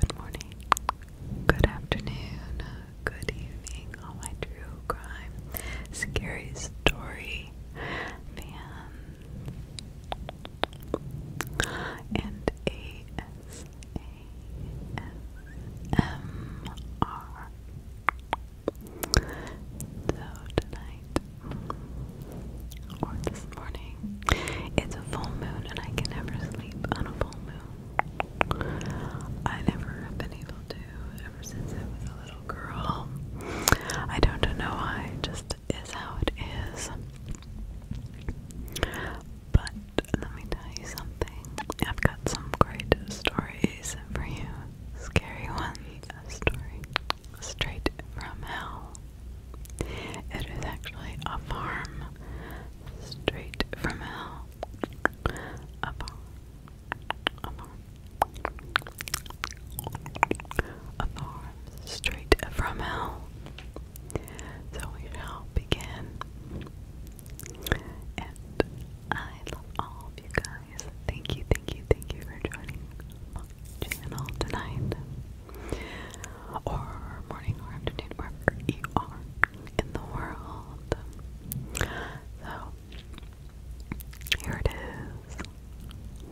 Good morning, good afternoon, good evening, all my true crime, scary story fans and ASASMR. So tonight or this morning. It's a full moon, and I can never sleep on a full moon. I never have been able to ever since I was a little girl. I don't know why, it just is how it is. But let me tell you something. I've got some great stories for you. Scary one story straight from hell. It is actually a farm straight from hell. A farm. A farm. A farm straight from hell. So we shall begin. And I love all of you guys. Thank you, thank you, thank you for joining channel tonight, or morning or afternoon, wherever you are in the world. So, here it is.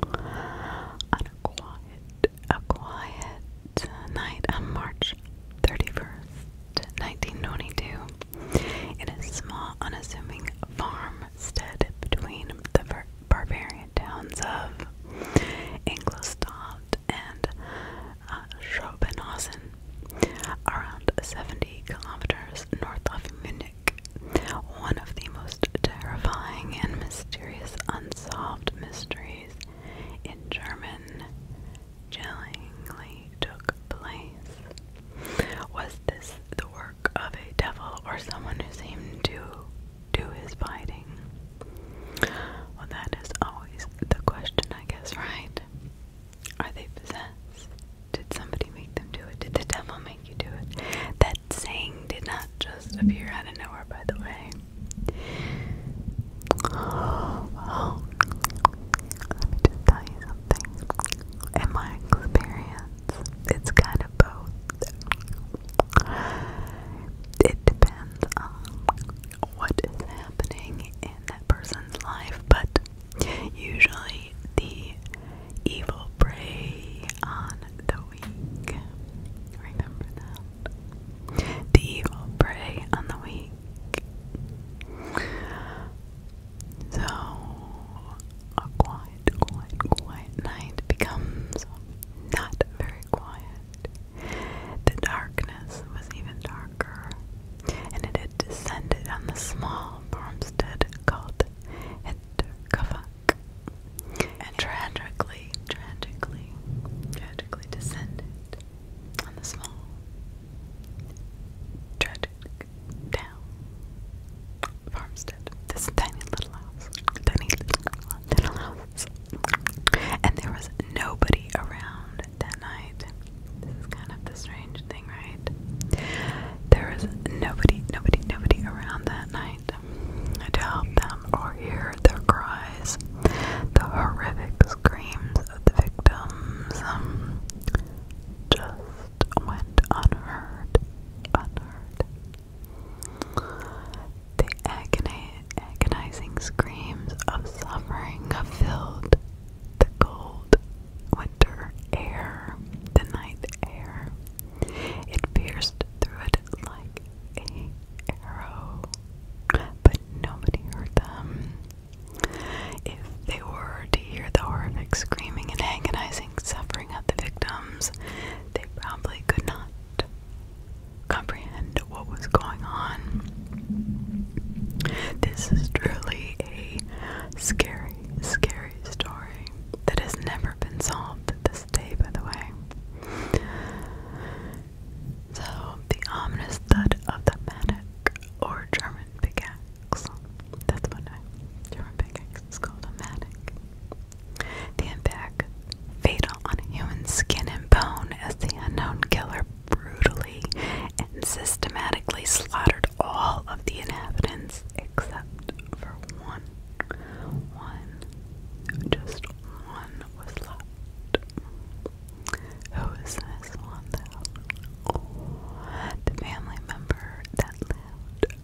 On a quiet, a quiet night on March 31st, 1922, in a small, unassuming farmstead between the barbarian towns of Ingolstadt and uh, around 70 kilometers north of Munich. One of the most terrifying and mysterious unsolved mysteries in German chillingly took place. Was this the work of a devil or someone who seemed to do his fighting? Well, that is always the question, I guess, right? Are they possessed? Did somebody make them do it? Did the devil make you do it? That saying did not just appear out of nowhere, by the way. let me just tell you something. In my experience, it's kind of both. It depends on what is happening in that person's life, but usually the evil prey on the weak. Remember that. The evil prey on the weak. So, Aquarius quiet, quiet, night becomes not very quiet. The darkness was even darker, and it had descended on the small farmstead called Hinterkavak, and tragically, tragically, tragically descended on the small, tragic town farmstead. This tiny little house. Tiny little house. And there was nobody around that night. This is kind of the strange thing, right? There was nobody, nobody, nobody around that night to help them or hear their cries, the horrific screams of the victims. Um, just went unheard, unheard, the agonizing screams of suffering filled the cold winter air, the night air. It pierced through it like an arrow, but nobody heard them. If they were to hear the horrific screaming and agonizing suffering of the victims, they probably could not comprehend what was going on. This is truly a scary, scary story that has never been solved to this day, by the way. So, the ominous thud of the manic or German pickaxe. That's what I, German pickaxe is called a manic. The impact fatal on human skin and bone as the unknown killer brutally and systematically slaughtered all of the inhabitants except for one. One, just one was left. Who is this one though? The family member that lived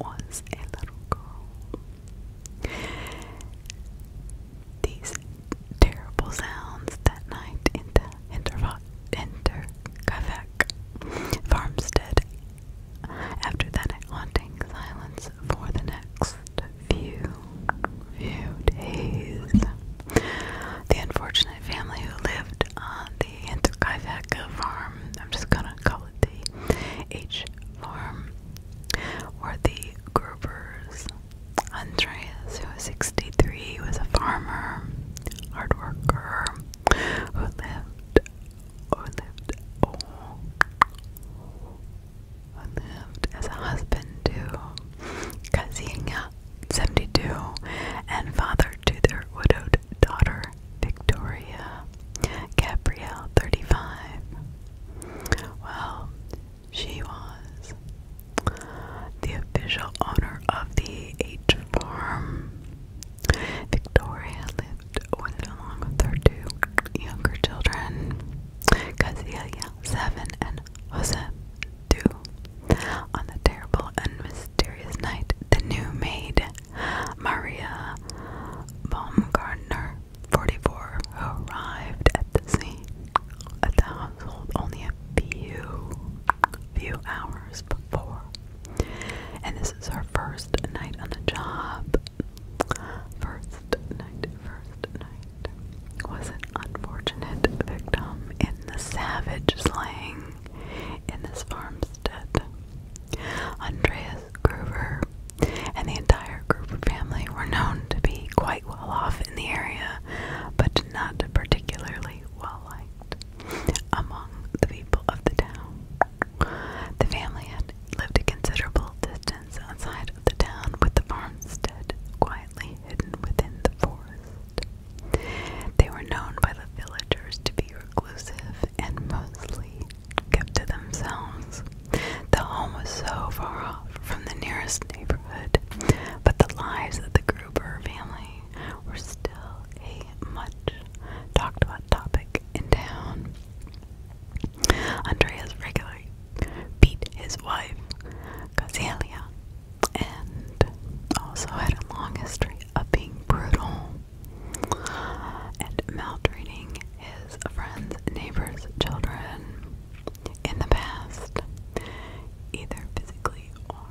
was a little girl. These terrible sounds that night in the Interkavek farmstead. After that haunting silence for the next few, few days, the unfortunate family who lived on the Interkavek farm, I'm just gonna call it the H. Farm were the Grovers. Andreas, who was 63, was a farmer, hard worker, who lived, who lived, who lived as a husband to Kazinga, 72, and father to their widowed daughter, Victoria Gabrielle 35. Well, she was the official owner of the H farm. Victoria lived with along with her two younger children, Casilia, seven, and Jose, two. On the terrible and mysterious night, the new maid Maria Baumgartner, 44, arrived at the scene at the household only a few, few hours before. And this is our first night on the job. First night, first night. Was an unfortunate victim in the savage slaying in this farmstead. Andreas Gruber and the entire Gruber family were known to be quite well off in the area, but not particularly well liked among the people of the town. The family had lived a considerable distance outside of the town, with the farmstead quietly hidden within the forest. They were known by the villagers to be reclusive and mostly kept to themselves. The home was so far off from the nearest neighborhood, but the lives of the Gruber family were still a much talked about topic in town. Andreas regularly beat his wife, Casalia, and also had a long history of being brutal and maltreating his friends, neighbors, children in the past, either physically or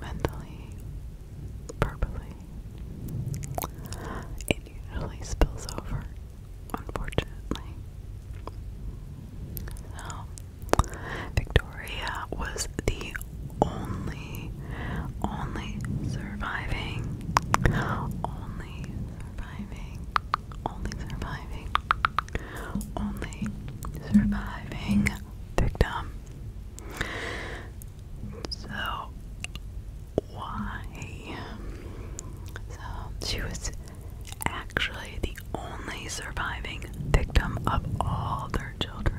mentally, verbally. It usually spills over, unfortunately. Victoria was the only only, surviving, only surviving, only surviving, only surviving victim. So, why? So, she was actually the only surviving victim of all their children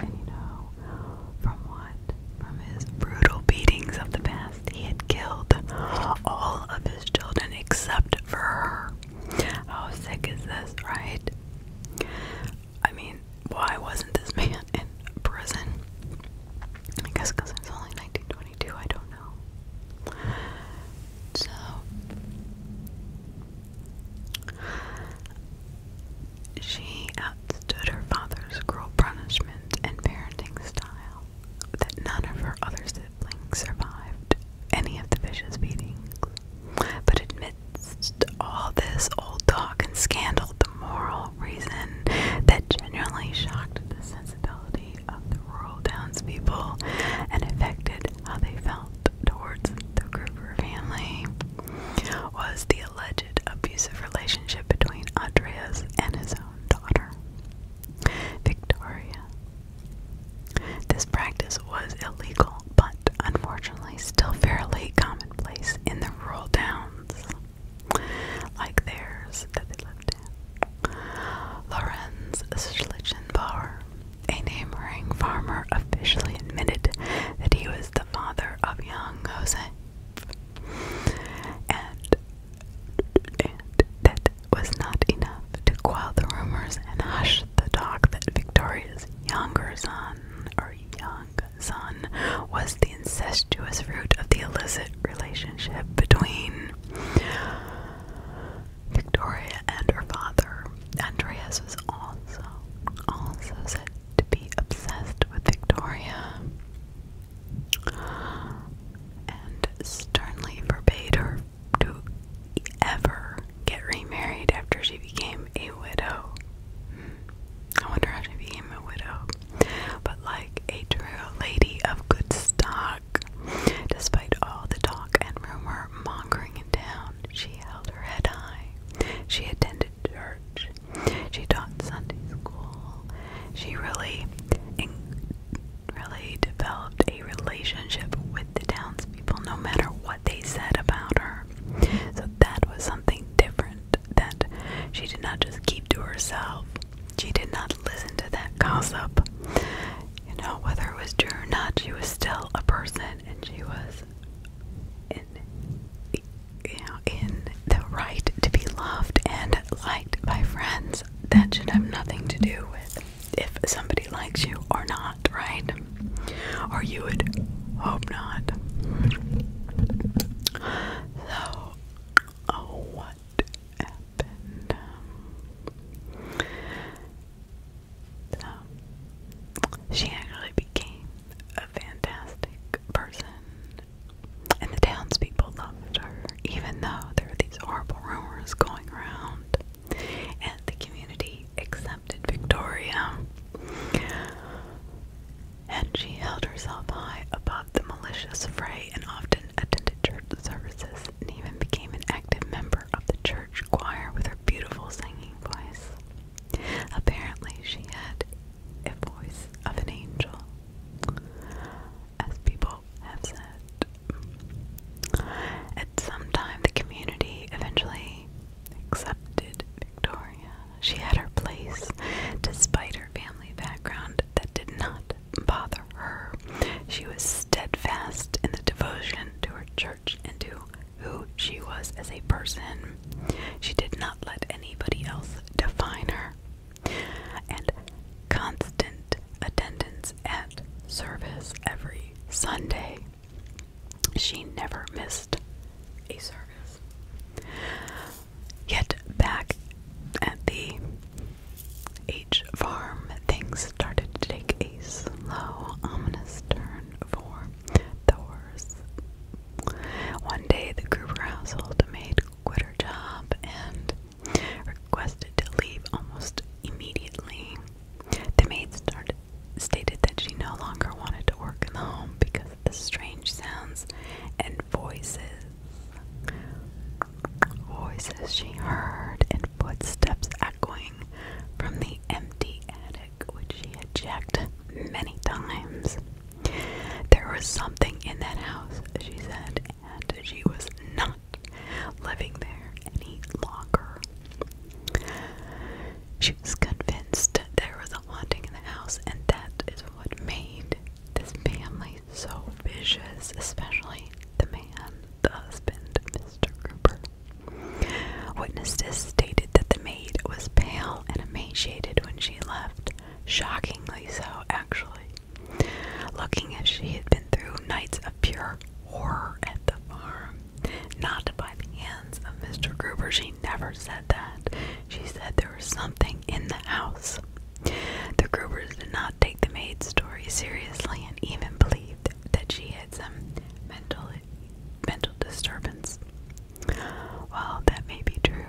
and you know, from what? From his brutal beatings of the past, he had killed all of his children except for her. How sick is this, right? I mean, why wasn't this man in prison? I guess because it's only 1922, I don't know. So, she outstood her father's cruel punishment and parenting style that none of her other siblings survived any of the vicious beatings. But amidst all this old talk and scandal, the moral reason that genuinely shocked the sensibility of the rural townspeople and affected how they felt towards the Gruber family was the alleged abusive relationship between Andreas and his own daughter, Victoria. This practice was illegal, but unfortunately still fairly commonplace in the rural towns like theirs that they lived in. Lorenz Schlichenbauer, a neighboring farmer, officially admitted that he was the father of young Joseph and, that was not enough to quell the rumors and hush the talk that Victoria's younger son, or young son, was the incestuous fruit of the illicit relationship between Victoria and her father. Andreas was also also said to be obsessed with Victoria and sternly forbade her to ever get remarried after she became a widow. I wonder how she became a widow. But like a true lady of good stock, despite all the talk and rumor mongering in town, she held her head high. She attended her. She taught Sunday school. She really, really developed a relationship with the townspeople, no matter what they said about her. So that was something different that she did not just keep to herself. She did not listen to that gossip. You know, whether it was true or not, she was still a person and she was in in the right to be loved and liked by friends. That should have nothing to do with if somebody likes you or not, right? Or you would hope not. So, oh, what happened? Um, so, she actually became a fantastic person, and the townspeople loved her, even though there were these horrible rumors going around, and the community accepted Victoria. And she held herself high above the malicious fray and often attended church services and even became an active member of the church choir with her beautiful singing voice. Apparently, she had a voice of an angel, as people have said. At some time, the community eventually accepted Victoria. She had her place, despite her family background that did not bother her. She was steadfast in the devotion to her church and to who she was as a person. She did not let anybody else define her. And constant attendance at service every Sunday. She never missed a service. Yet back at the H farm, things started to take a slow, ominous turn for the worse. One day, the Gruber household maid quit her job and requested to leave almost immediately. The maid stated that she no longer wanted to work in the home because of the strange sounds and voices. Voices she heard and footsteps echoing from the empty attic, which she had checked many times. There was something in that house, she said, and she was not living there any longer. She was convinced there was a haunting in the house, and that is what made this family so vicious, especially the man, the husband, Mr. Cooper. Witnesses stated that the maid was pale and emaciated when she left, shockingly so, actually. Looking as she had been through nights of pure horror at the farm, not by the hands of Mr. Gruber, she never said that. She said there was something in the house. The Grubers did not take the maid's story seriously and even believed that she had some mental mental disturbance. Well, that may be true,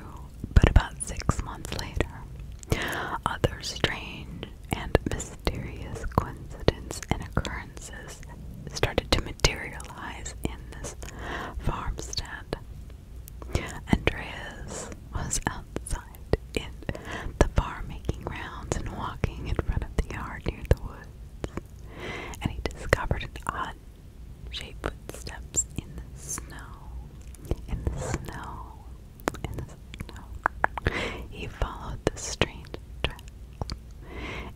but about six months later, other strange and mysterious coincidences and occurrences started to materialize in this farmstead. Andreas was outside in the farm making rounds and walking in front of the yard near the woods, and he discovered an odd Shape footsteps in the snow. In the snow. In the snow. He followed the strange track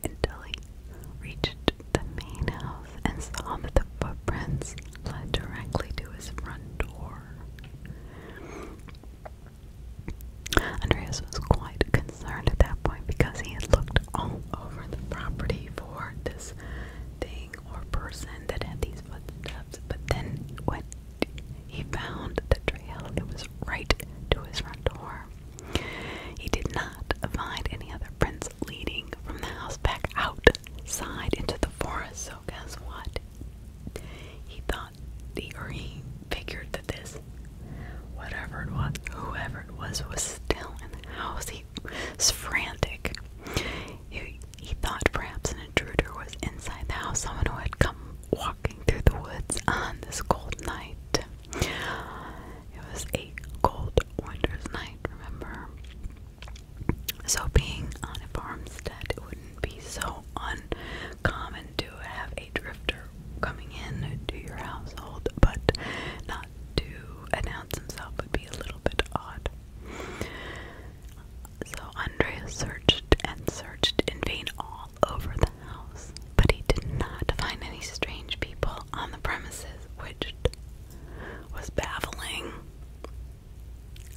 until he reached the main house and saw that the footprints led directly to his front door. Andreas was quite concerned at that point because he had looked all over the property for this thing or person that had these footsteps, but then when he found the trail, it was right to his front door. He did not find any other prints leading from the house back outside into the forest, so guess what? He thought, the, or he figured that this, whatever it was, whoever it was, was still in the house. He he frantic. He, he thought perhaps an intruder was inside the house, someone who had come walking through the woods on this cold night. It was a cold winter's night, remember? So, being on a farmstead, it wouldn't be so uncommon to have a drifter coming in to your household, but not to announce himself would be a little bit odd. So Andrea searched and searched in vain all over the house, but he did not find any strange people on the premises, which was baffling.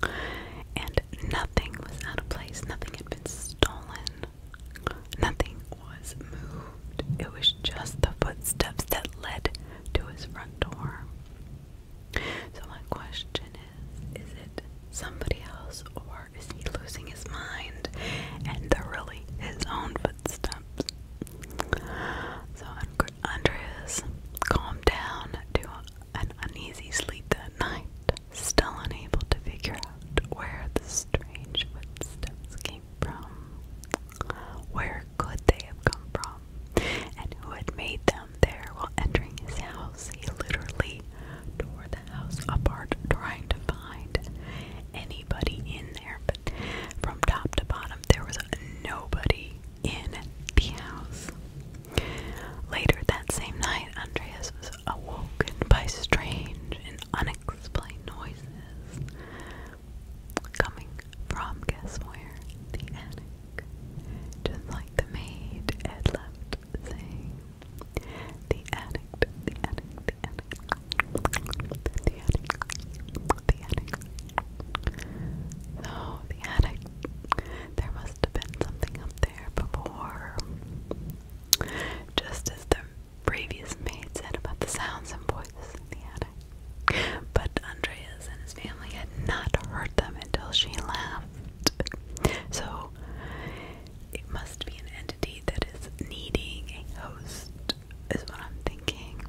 And nothing was out of place, nothing had been stolen, nothing was moved. It was just the footsteps that led to his front door. So my question is, is it somebody else or is he losing his mind and they're really his own footsteps? So Andreas calmed down to an uneasy sleep that night, still unable to figure out where the strange footsteps came from. Where could they have come from? and who had made them there while entering his house. He literally tore the house apart trying to find anybody in there, but from top to bottom, there was nobody in the house. Later that same night, Andreas was awoken by strange and unexplained noises. Coming from guess where? The attic. Just like the maid had left The attic, the attic, the attic. The attic, the attic. So, oh, the attic. There must have been something up there before. Just as the previous maid said about the sounds and voices in the attic. But Andreas and his family had not hurt them until she left. So it must be an entity that is needing a host, is what I'm thinking.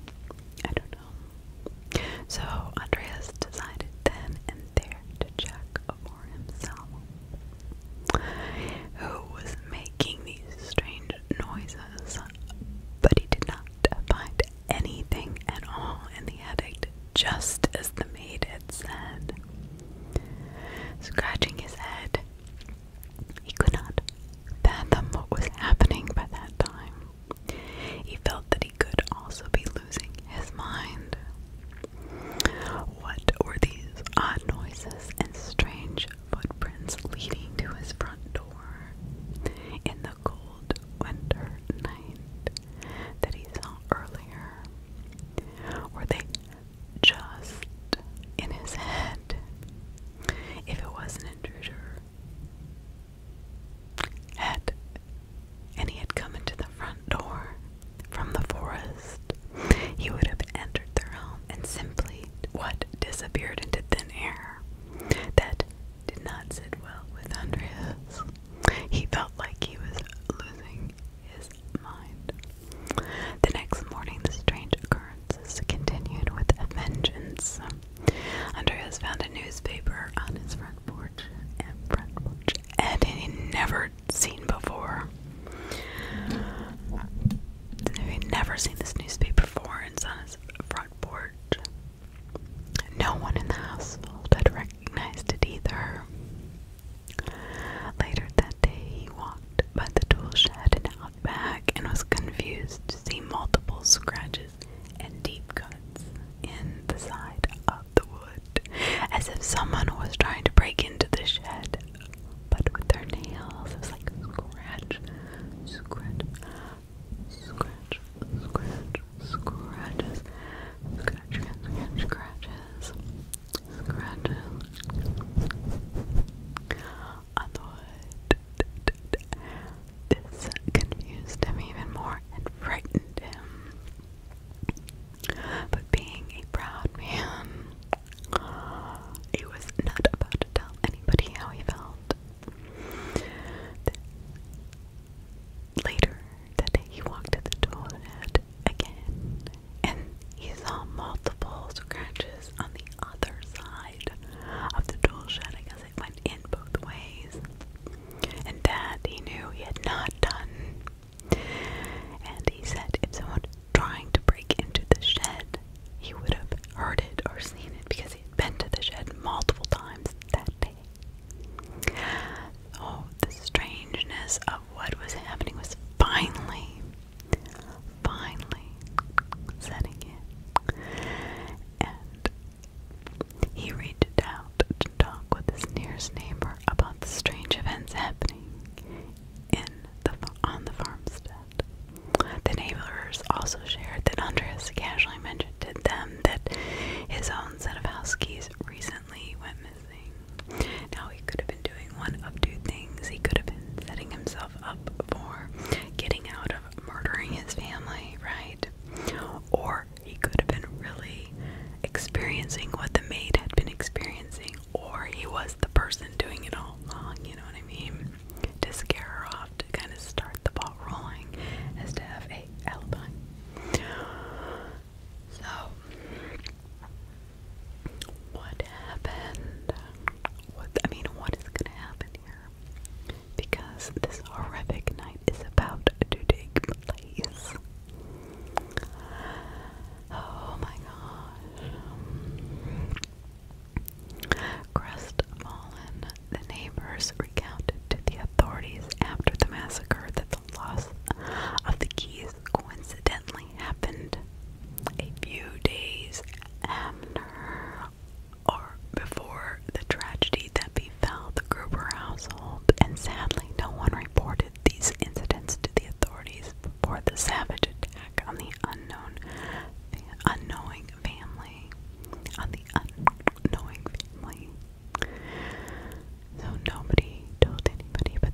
I don't know. So Andreas decided then and there to check for himself who was making these strange noises, but he did not do find anything at all in the attic, just as the maid had said. Scratching his head, he could not fathom what was happening by that time. He felt that he could also be losing his mind. What were these odd noises and strange footprints leading to his front door? In the cold cold winter night that he saw earlier. Were they just in his head? If it was an intruder, had and he had come into the front door from the forest, he would have entered their home and simply what disappeared into thin air. That did not sit well with Andreas. He felt like he was losing his mind. The next morning, the strange occurrences continued with a vengeance. Andreas found a newspaper on his front porch and he'd never seen before. he never seen this newspaper before, and on his front porch. No one in the household had recognized it either. Later that day, he walked by the tool shed and out back and was confused to see multiple scratches and deep cuts in the side of the wood, as if someone was trying to break into the shed, but with their nails. It was like scratch, scratch, Scratch, scratch, scratches. Scratch, scratch, scratches. Scratches. Otherwise, this confused him even more and frightened him. But being a proud man, he was not about to tell anybody how he felt. Later that day, he walked to the toilet again, and he saw multiple scratches on the other side of the tool shed. I guess it went in both ways, and that he knew he had not done. And he said, if someone trying to break into the shed, he would have heard it or seen it because he had been to the shed multiple times that day. Oh, the strangeness of what was happening was finally, finally setting in. And he reached out to talk with his nearest neighbor about the strange events happening in the on the farmstead. The neighbors also shared that Andreas casually mentioned to them um, that his own set of house keys recently went missing. Now, he could have been doing one of two things. He could have been setting himself up for getting out of murdering his family, right? Or he could have been really experiencing what the maid had been experiencing, or he was the person doing it all along, you know what I mean? To scare her off to kind of start the ball rolling as to have a alibi. So what happened? What I mean, what is gonna happen here? Because this horrific night is about to take place. Oh my gosh. Crestfallen the neighbors recounted to the authorities after the massacre that the loss of the keys coincidentally happened a few days after or before the tragedy that befell the Gruber household, and sadly, no one reported these incidents to the authorities before the savage attack on the unknown, unknowing family on the the unknowing family. So nobody told anybody, but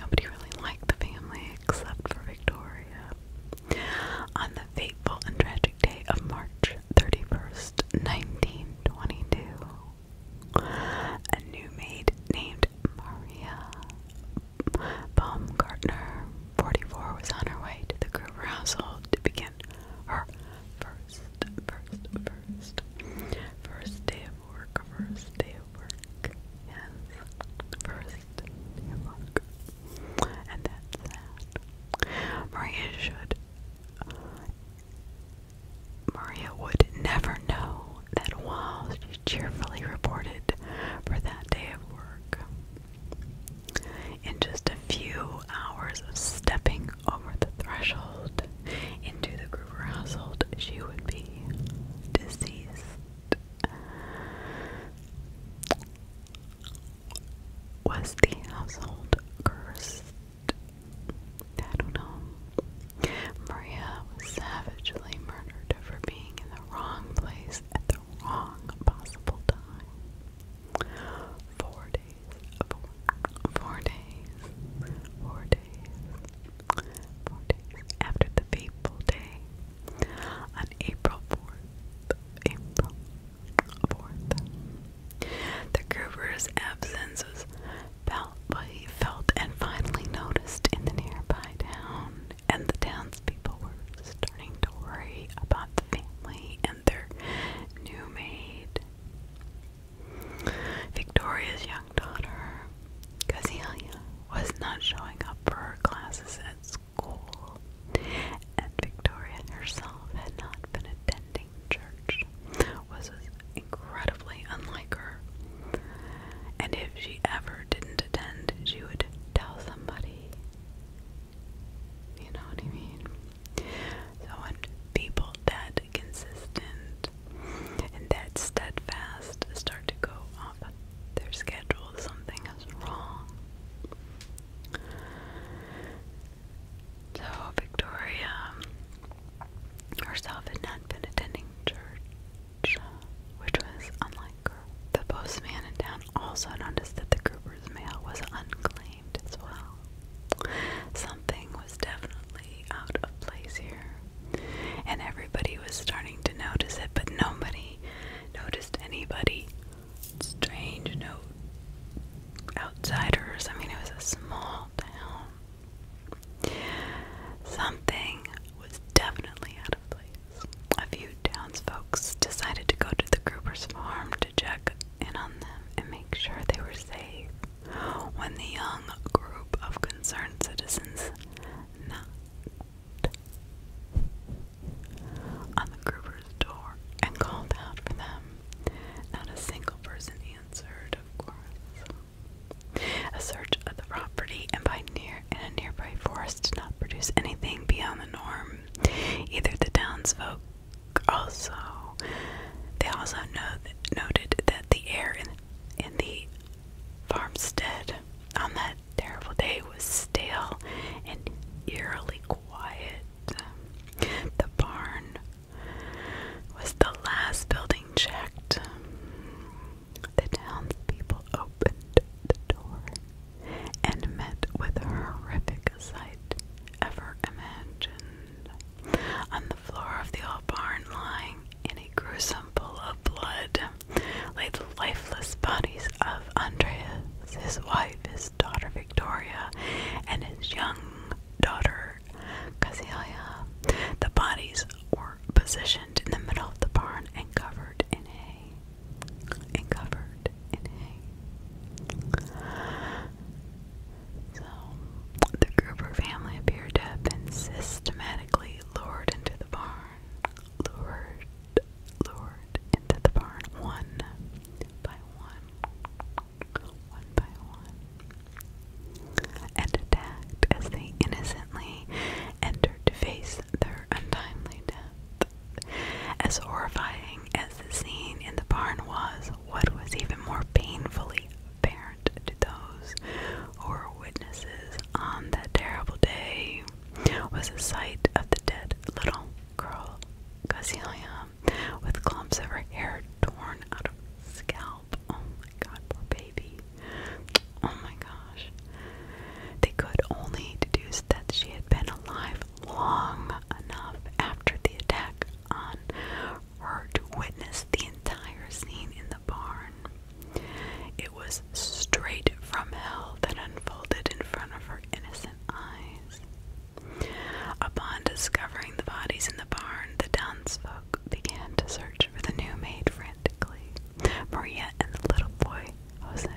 nobody really liked the family except for Victoria. On the fateful and tragic day of March 31st, 1922, a new maid named Maria Baumgartner, 44, was on her way to the Gruber household to begin her First, first, first. First day of work, first day of work. Yes. First day of work. And that. Maria should. Maria would never know that while she cheerfully reported for that day of work, in just a few hours of stepping over the threshold into the Gruber household, she would be deceased. Was the household cursed? I don't know. Maria was savagely murdered for being in the wrong place at the wrong possible time. Four days four, days, four days, four days after the fateful day on April 4th, The Gruber's absence was felt, felt and finally noticed in the nearby town, and the townspeople were starting to worry about the family and their new maid. Victoria's young daughter, Casilia, was not showing up for her classes at school, and Victoria herself had not been attending church, was incredibly unlike her. And if she ever didn't attend, she would tell somebody. You know what I mean? So I people that consistent and that steadfast start to go off their schedule. Something is wrong. So Victoria herself had not been attending church, which was unlike The postman in town also noticed that the Cooper's mail was unclean mind as well. Something was definitely out of place here, and everybody was starting to notice it, but nobody noticed anybody. Strange, no outsiders. I mean, it was a small town. Something was definitely out of place. A few townsfolk decided to go to the Cooper's farm to check in on them and make sure they were safe. When the young group of concerned citizens knocked on the Gruber's door and called out for them, not a single person answered, of course. A search of the property and by near in a nearby forest did not produce anything beyond the norm. Either the townsfolk also they also noted that the air in, in the farmstead on that terrible day was stale and eerily quiet. The barn was the last building checked. The townspeople opened the door and met with a horrific sight ever imagined. On the floor of the old barn, lying in a gruesome pool of blood, lay the lifeless bodies of Andreas, his wife, his daughter Victoria, and his young daughter Casilia. The bodies were positioned in the middle of the barn and covered in hay. And covered in hay. So, the Gruber family appeared to have been systematically lured into the barn, lured, lured into the barn, one by one, one by one, and attacked as they innocently entered to face their untimely death. As horrifying as the scene in the barn was, what was even more painfully apparent to those who were witnesses on that terrible day was the sight of the dead little girl, Casilia, with clumps of her hair torn out of her scalp. Oh my god, baby. Oh my gosh. They could only deduce that she had been alive long enough after the attack on her to witness the entire scene in the barn. It was straight from hell that unfolded in front of her innocent eyes. Upon discovering the bodies in the barn, the townsfolk began to search for the new maid frantically. Maria and the little boy, Jose,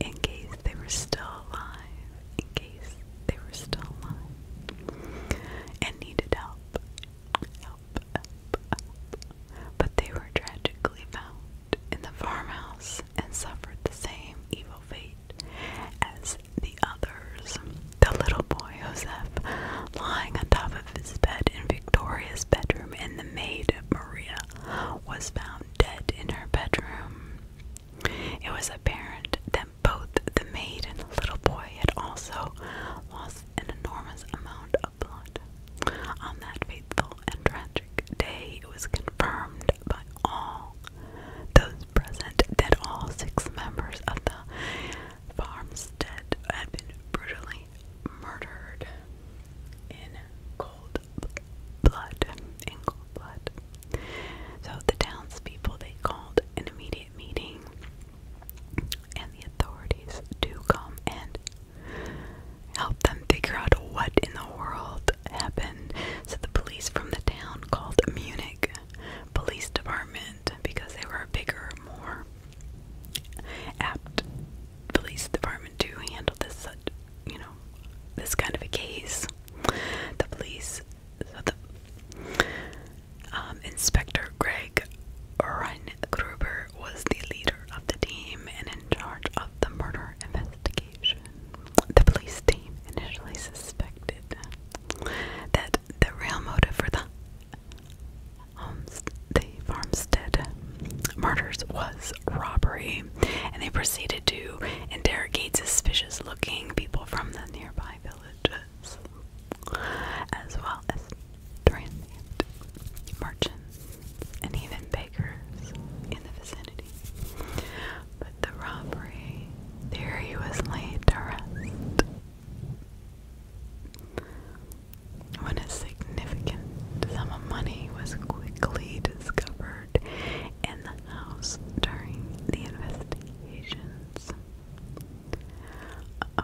in case they were still alive, in case they were still alive and needed help. Help, help, help. But they were tragically found in the farmhouse and suffered the same evil fate as the others. The little boy Joseph, lying on top of his bed in Victoria's bedroom, and the maid Maria was found dead in her bedroom. It was apparent that both the maid and the little boy had also lost an enormous amount of blood. On that fateful and tragic day, it was confirmed by all those present that all six members of the farmstead had been brutally murdered in cold blood. In cold blood. So the townspeople they called an immediate meeting, and the authorities do come and help them figure out what in the world happened. So the police from the town called Munich Police Department because they were a bigger, more apt police department to handle this, you know, this kind of a case. The police, um, Inspector Greg Gruber was the leader of the team and in charge of the murder investigation. The police team initially suspected that the real motive for the um, the farmstead murders was robbery, and they proceeded to interrogate suspicious looking people from the nearby villages, as well as transient merchants and even bakers in the vicinity. But the robbery theory was laid to when a significant sum of money was quickly discovered in the house during the investigations. Uh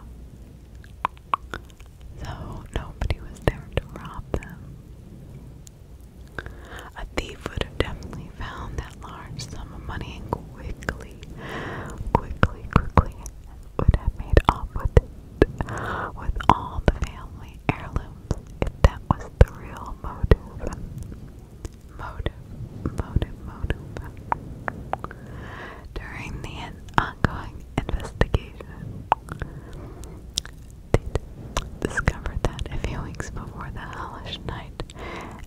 nobody was there to rob them. A thief would have definitely found that large sum of money and quickly, quickly, quickly would have made off with it, with all the family heirlooms, if that was the real motive motive, During the ongoing investigation, they discovered that a few weeks before the hellish night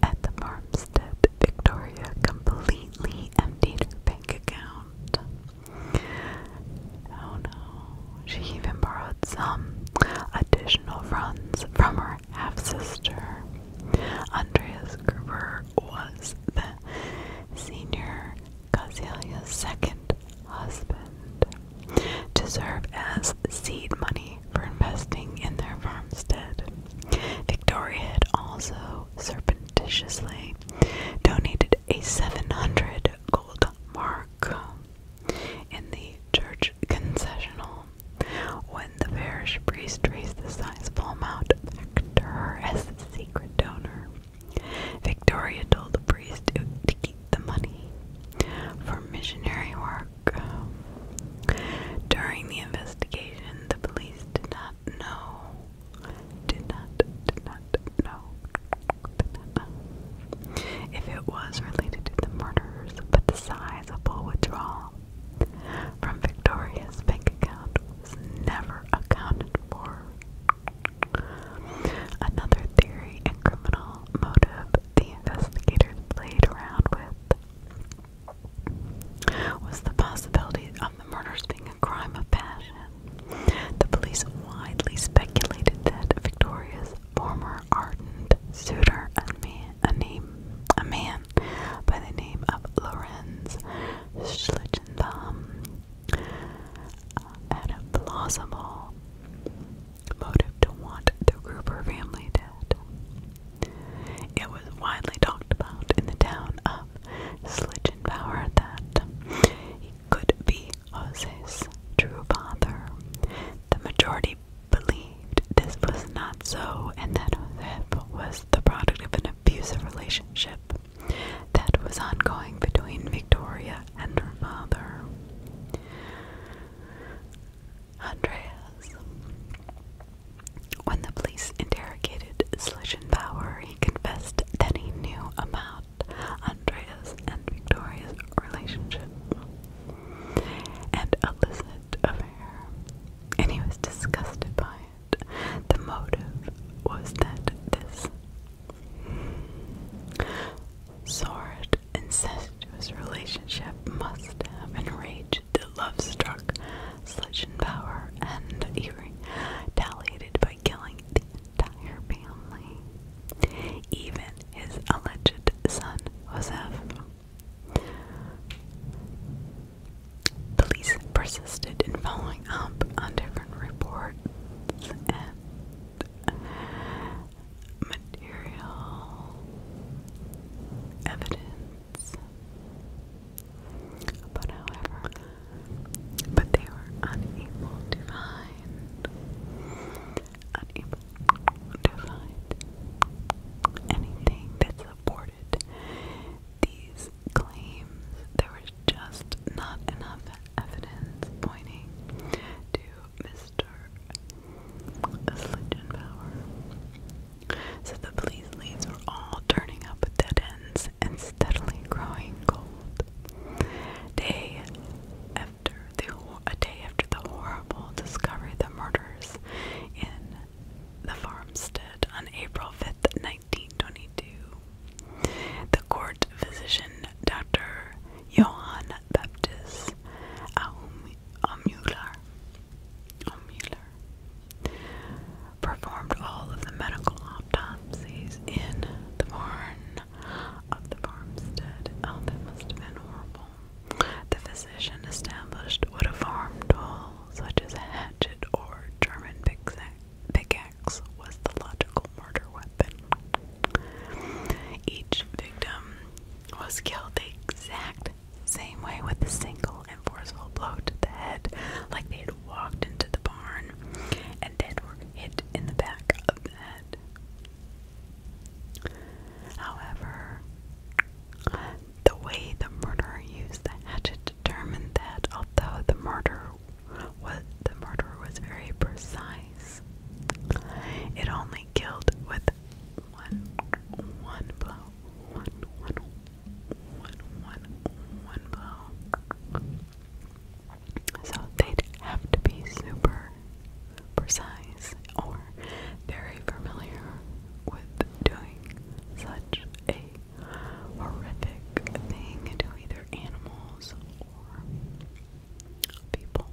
at the farmstead, Victoria completely emptied her bank account. Oh no, she even borrowed some additional funds from her her half-sister. Andreas Gruber was the senior Casilia's second husband to serve as seed money for investing in their farmstead. Victoria had also surreptitiously donated a 700 gold mark in the church concessional. When the parish priest raised the size amount back to her as the secret donor, Victoria told the priest to keep the money for missionary work. During the investigation, the police did not know, did not, did not know, did not know if it was related to the murders, but the size of the withdrawal from Victoria's bank account was never accounted for. Another theory and criminal motive the investigators played around with was the possibility of the murders being a crime of passion. The police widely speculated that Victoria's former ardent suitor and man a name, a man by the name of Lorenz Schlichtenbaum uh, had a plausible motive to want the Gruber family dead. It was widely talked about in the town of Schlichtenbauer that he could be Jose's true father. The majority believed this was not so and that Joseph was the product of an abusive relationship that was ongoing between Victoria and her father. Andreas. When the police interrogated Schlichenbauer, he confessed that he knew about Andreas and Victoria's relationship and illicit affair, and he was disgusted by it. The motive was that this sordid, incestuous relationship must have enraged the love-struck Schlichenbauer, and he retaliated by killing the entire family, even his alleged son Joseph. Police persisted in following up on different reports and material evidence. But however, but they were unable to find unable to find anything that supported these claims. There was just not enough evidence pointing to Mr. Power. So the police leads were all turning up dead ends and steadily growing cold. They the a day after the horrible discovery of the murders in the farmstead on April 5th, 1922, the court physician Dr. Johann Baptist Aumüller performed all of the medical autopsies in the barn of the farmstead. Oh, that must have been horrible. The physician established what a farm tool, such as a hatchet or German pickaxe, was the logical murder weapon. Each victim was killed the exact same way with a single and forceful blow to the head, like they had walked into the barn and dead were hit in the back of the head. However, the way the murderer used the hatchet determined that although the murder was murderer was very precise, it only killed with one blow. So they'd have to be super precise or very familiar with doing such a horrific thing to either animals or people.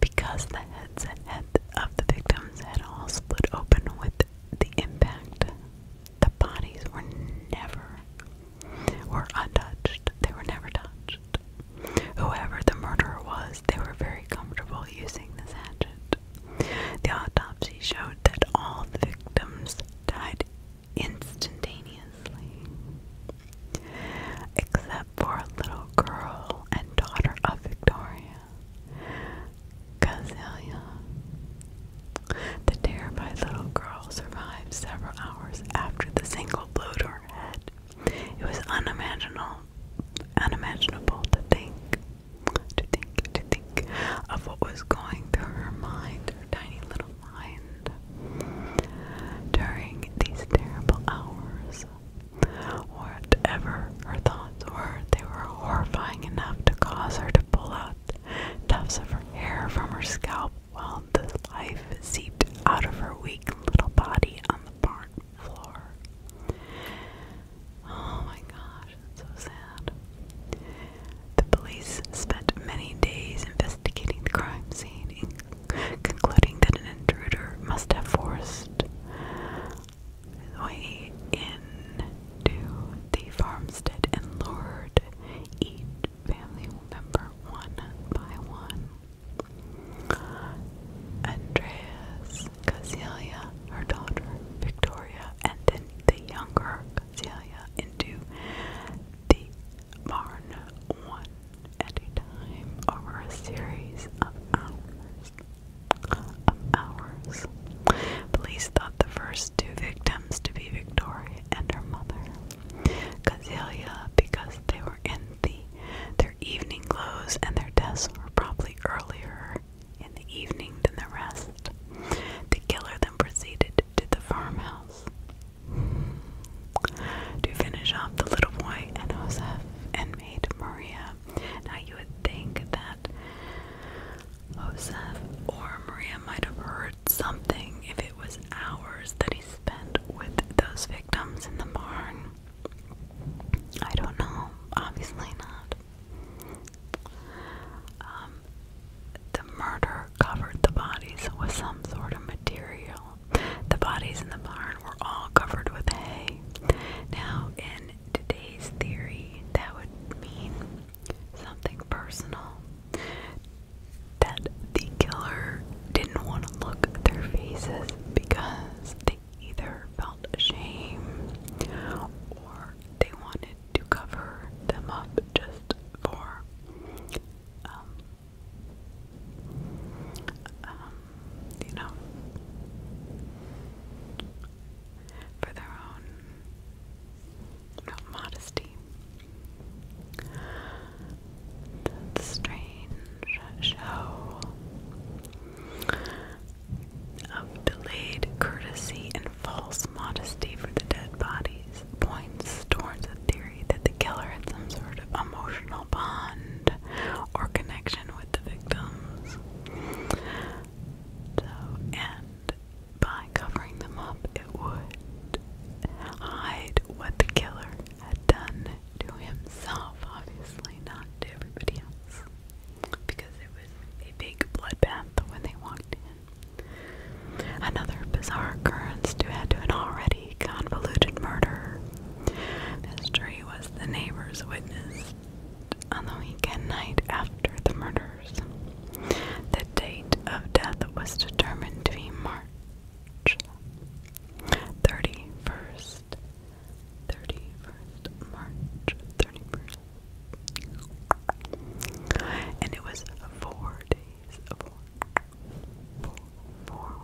Because the heads head of the victims had all split open with the impact, the bodies were never were untouched. They were never touched. Whoever the murderer was, they were very comfortable using this hatchet. The autopsy showed that all the victims died instantaneously, except for a little girl and daughter of Victoria, Cazelia. The terrified little girl survived several hours after the single blow to her head. It was unimaginable, unimaginable to think, to think, to think of what was going through her mind, her tiny little mind, during these terrible hours. Whatever her thoughts were, they were horrifying enough to cause her to pull out tufts of her hair from her scalp while the life seeped out of her weak little body on the barn Oh my gosh, so sad. The police spent many days investigating the crime scene, concluding that an intruder must have forced way into the farmstead and lured each family member one by one. Andreas, Casilia, her daughter, Victoria, and then the younger Casilia into the barn one at a time over a series of hours. Police thought the first two victims to be Victoria and her mother, Casilia, because they were in the their evening clothes, and their deaths were probably earlier in the evening than the rest. The killer then proceeded to the farmhouse to finish off the little boy and Joseph and maid Maria. Now you would think that Joseph or Maria might have heard something if it was hours that he spent with those victims in the barn. I don't know. Obviously not. Um, the murder covered the bodies with some sort of material. The bodies in the barn were all covered with hay. Now, in today's theory, that would mean something personal. That the killer didn't want to look at their faces because they either felt shame or they wanted to cover them up just for um, um, you know, for their own modesty that strange show of delayed courtesy and false modesty for the dead bodies points towards a that the killer had some sort of emotional bond or connection with the victims. and by covering them up, it would hide what the killer had done to himself, obviously, not to everybody else, because it was a big bloodbath when they walked in. Another bizarre occurrence to add to an already convoluted murder. Mystery was the neighbor's witness on the weekend night after the murders. The date of death was determined to be March 31st, 31st March 31st. And it was four days, four, four,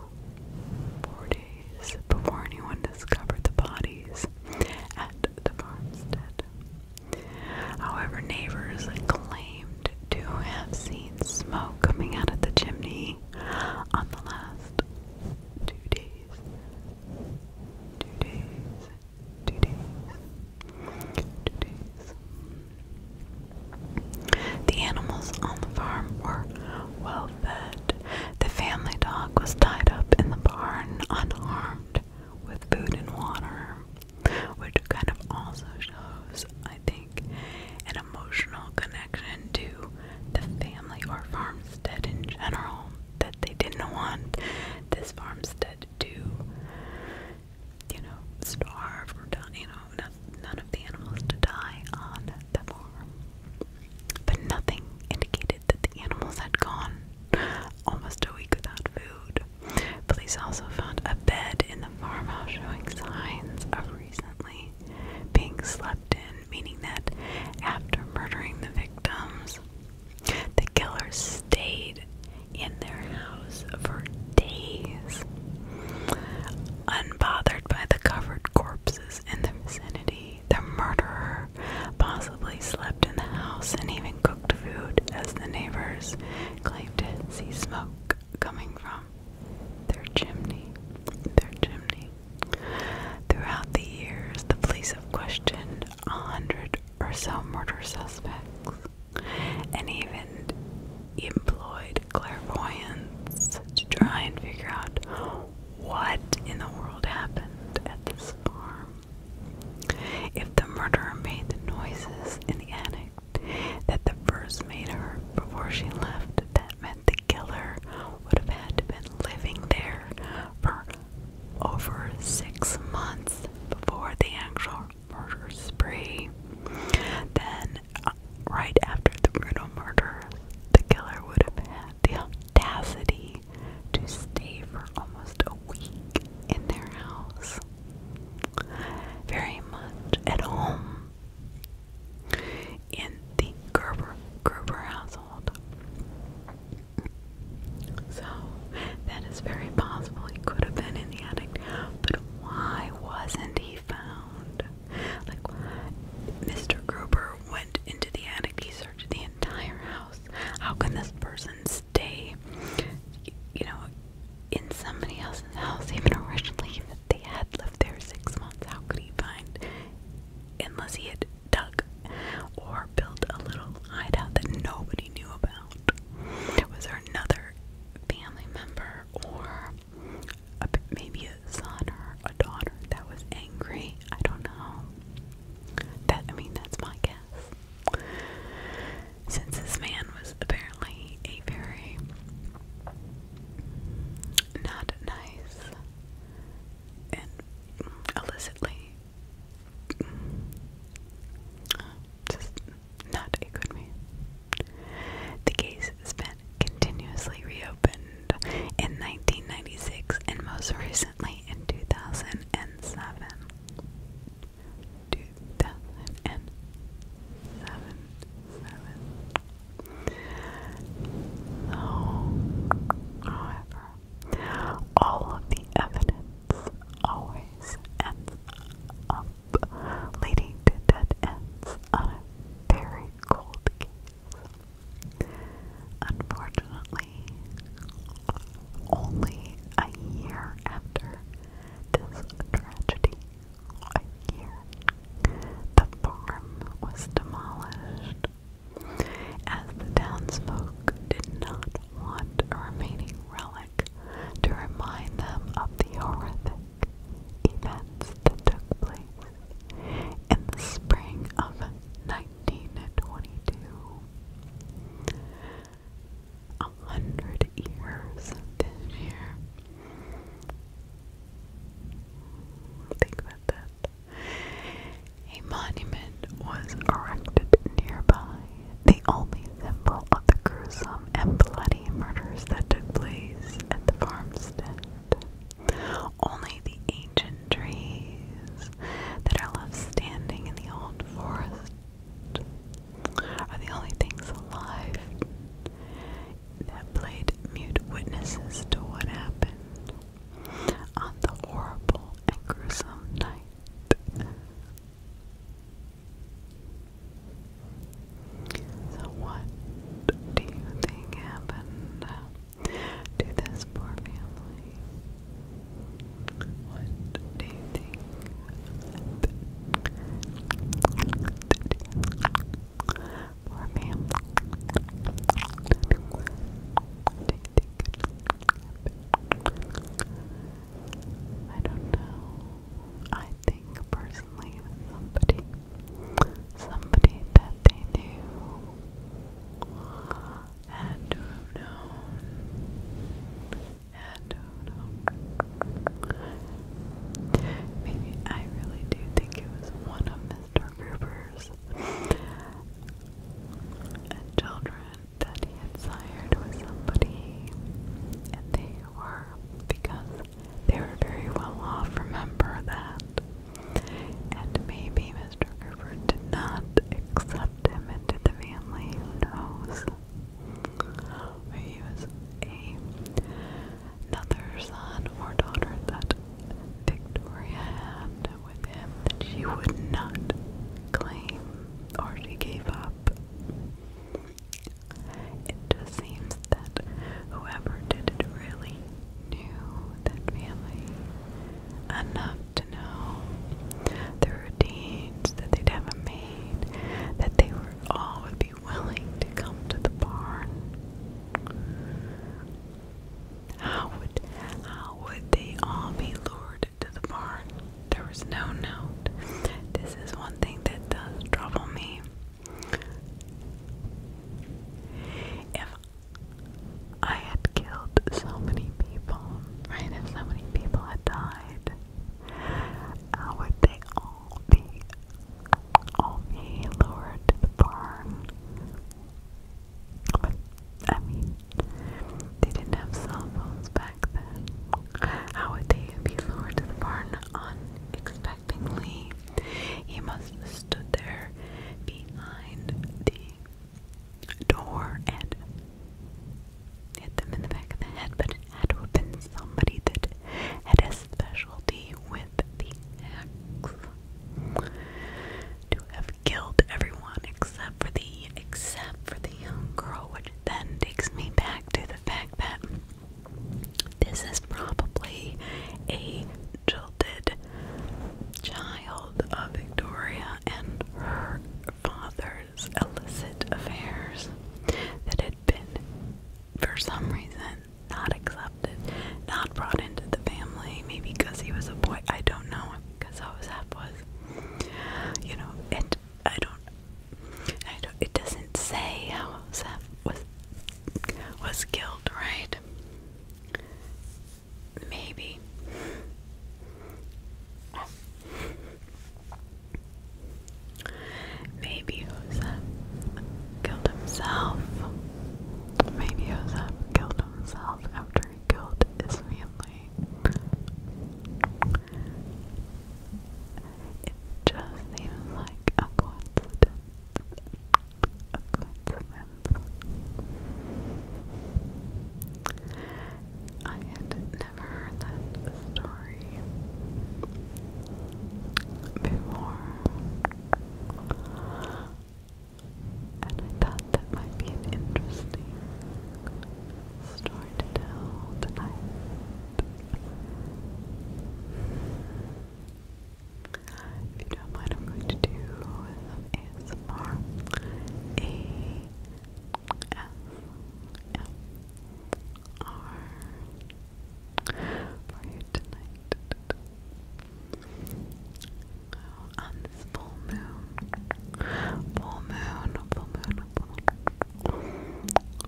four days before anyone discovered the bodies at the However, neighbors claimed to have seen smoke coming out of the chimney on the last two days. Two days. Two days. Two days. The animals on the farm were well fed. The family dog was tied up in the barn, unharmed, with food and water, which kind of also shows, I think, an emotional connection to the family or farmstead in general that they didn't want this farmstead to, you know, starve or die, you know, none of the animals to die on the farm. But nothing indicated that the animals had gone almost a week without food. Police also found a bed in the farmhouse showing signs of recently being slept in, meaning that after murdering the victims, the killer stayed in their house for days, unbothered by the covered corpses in the vicinity. The murderer possibly slept in the house and even cooked food, as the neighbors claimed to see smoke coming from their chimney, their chimney. Throughout the years, the police have questioned a hundred or so murder suspects and even employed clairvoyants to try and figure out what in the world happened at this farm. If the murderer made the noises in the attic that the first made her before she left, that meant the killer would have had to been living there for over six months before the actual murder spree. Then, uh, right after the brutal murder, the killer would have had the audacity to stay for almost a week in their house. Very much at home in the Gerber household. So that is very possible he could have been in the attic, but why wasn't he found? Like Mr. Gruber went into the attic, he searched the entire house. How can this person stay, you know, in somebody else's house even leave? They had lived there six months. How could he find? Unless he had dug or built a little hideout that nobody knew about. Was there another family member or maybe a son or a daughter that was angry? I don't know. That I mean, that's my guess. Since this man was apparently a very not nice and illicitly just not a The case has been continuously reopened in 1996 and most recently in 2007. 2007. Though, however, all of the evidence always ends up leading to dead ends on a very cold case. Unfortunately, only a year after this tragedy, a year the farm was demolished, as the townsfolk did not want a remaining relic to remind them of the horrific events that took place in the spring of 1922. A hundred years this year. Think about that. A monument was erected nearby, the only symbol of the gruesome and bloody murders that took place at the farmstead. Only the ancient trees that are left standing in the old forest are the only things alive that played mute witnesses to what happened on the horrible gruesome night. So, what do you think happened to this poor family? What do you think? for me. I don't know. I think personally somebody somebody that they knew had to have known had to have Maybe I really do think it was one of Mr removers and children that he had sired with somebody, and they were because they were very well off. Remember that, and maybe Mr. Gerber did not accept him into the family. Who knows? he was a another son or daughter that Victoria had with him that she would not claim or she gave up. It just seems that whoever did it really knew that family enough to know the routines that they'd have made, that they were all would be willing to come to the barn. How would how would they all be lured to the barn? There was no note. This is one thing that does trouble me. If I had killed so many people, right? If so many people had died, how would they all be I'll be the barn. But, I mean, they didn't have cell back then. How would they be lured to the barn unexpectedly? He must have stood there behind the door and hit them in the back of the head, but it had to have been somebody that had a specialty with the axe to have killed everyone except for the except for the young girl, which then takes me back to the fact that this is probably a jilted child of Victoria and her father's illicit affairs that had been, for some reason, not accepted, not brought into the family, maybe because he was a boy, I don't know, because how his half was, you know, it, I don't, I don't, it doesn't say how Seth was, was killed, right? Maybe. Maybe Joseph killed himself. Maybe Joseph killed himself after he killed his family. It just seems like a coincidence. A coincidence. I had never heard that story before and I thought that might be an interesting story to tell If you don't mind, I'm going to do ASMR. ASMR tonight, tonight. Oh, on this full moon, full moon, full moon, full moon.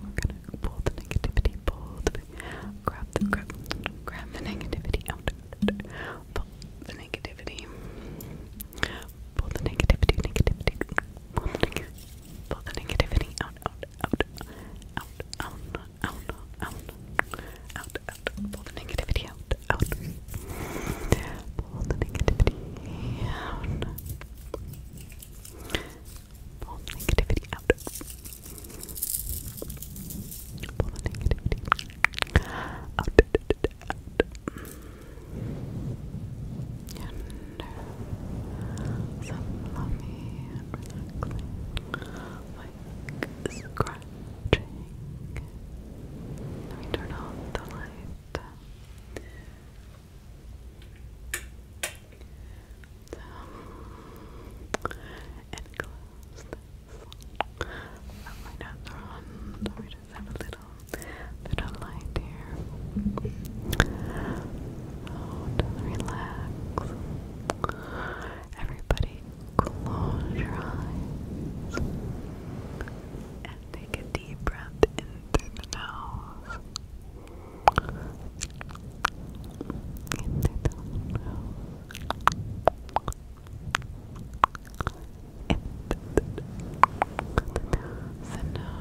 We're gonna pull the negativity, pull the grab the grab, grab the negativity out, pull the negativity, pull the negativity, negativity, pull the negativity, pull the negativity out, out, out, out, out, out, out, out, out, pull the negativity out, out, pull the negativity out, pull negativity out, pull the negativity out, out, out, and some lovely, relaxing, like scratching. Let me turn off the light. and close this. Let my on. Let just have a little bit light here. Oh, relax. Everybody Close your eyes and take a deep breath in through the nose. In the nose. In through the nose. The nose.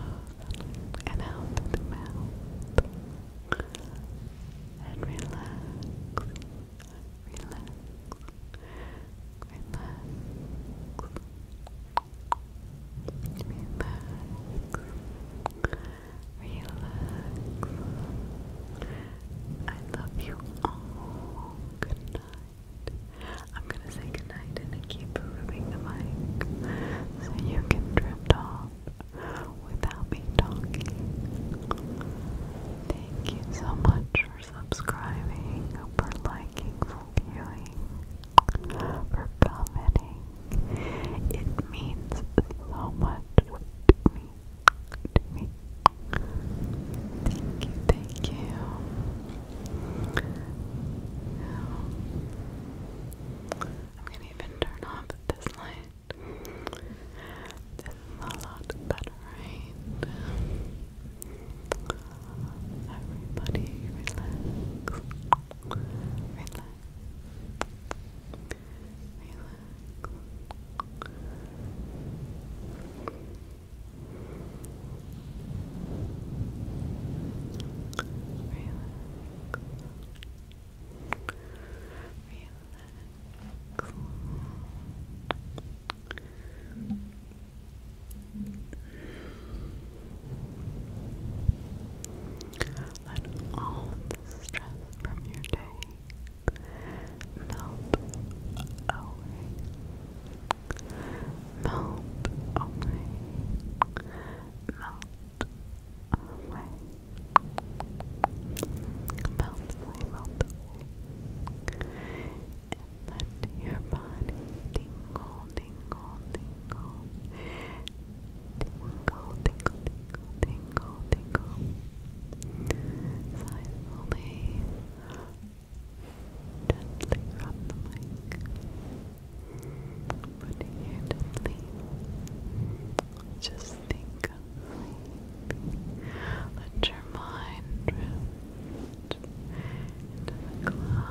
And out through the mouth. And relax relax, relax, relax. I love you all. Good night. I'm gonna say good night and I keep moving the mic so you can drift off without me talking. Thank you so much for subscribing, for liking, for viewing, for commenting. It means so much to me. Thank you, thank you. I'm gonna even turn off this light right? This a lot better, right? Everybody relax. Relax. Relax. Relax. Relax cool. Let all the stress from your day melt away. Melt away. Melt away. Bounce level. And let your body tingle, tingle, tingle. Tingle, tingle, tingle, tingle, tingle. Silently, gently rub the mic. Putting it Just think sleepy. Let your mind drift into the clouds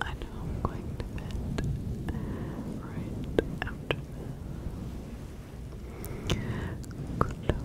I know I'm going to bed right after this. Close your eyes.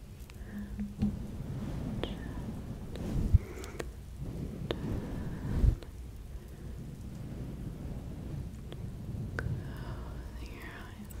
Closing, closing, closing,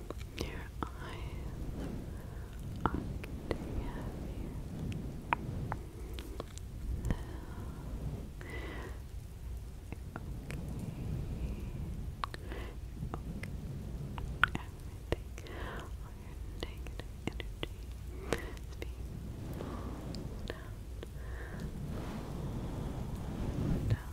Your eyes are getting heavier. Now, okay. okay. Everything, all energy is down, down.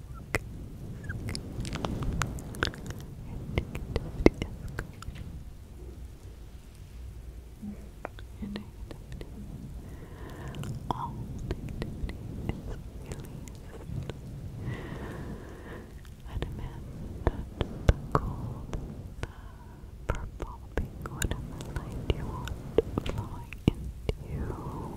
All negativity is released. the cold, the purple, pink, whatever light you want flowing into you.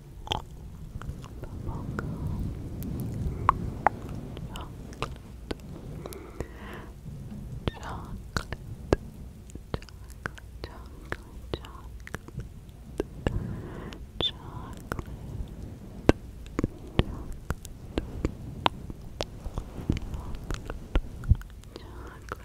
Bubble chocolate, chocolate, chocolate, chocolate, chocolate, chocolate. Chocolate,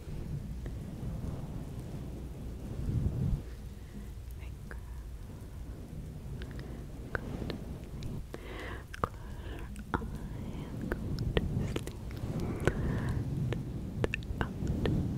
Finger. Good. Close your eye and sleep. Out. Go to sleep.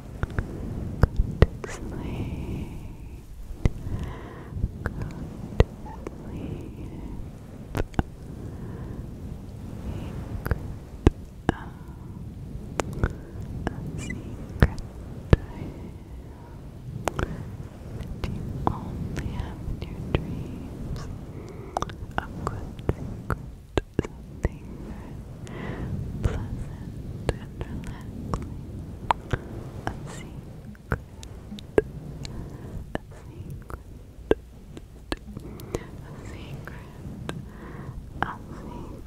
Good sleep. Good sleep. Secret. secret that you only in your dreams. A good something pleasant and relaxing. A secret, a secret, a secret, a secret.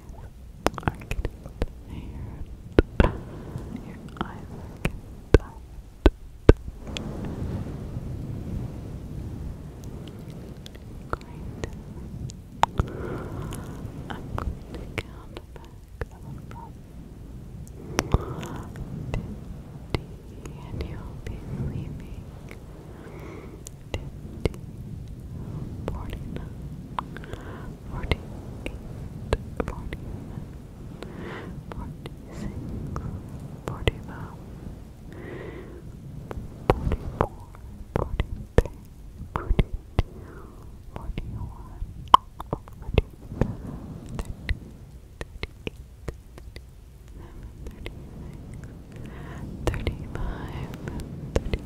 are getting tired. Your eyes I'm going to count back from fifty, and you'll be sleeping. Fifty, forty-nine, forty eight, forty nine, forty six, forty five, forty four, forty three, forty two, forty one, forty two, thirty, thirty eight, thirty seven, thirty six, thirty five, thirty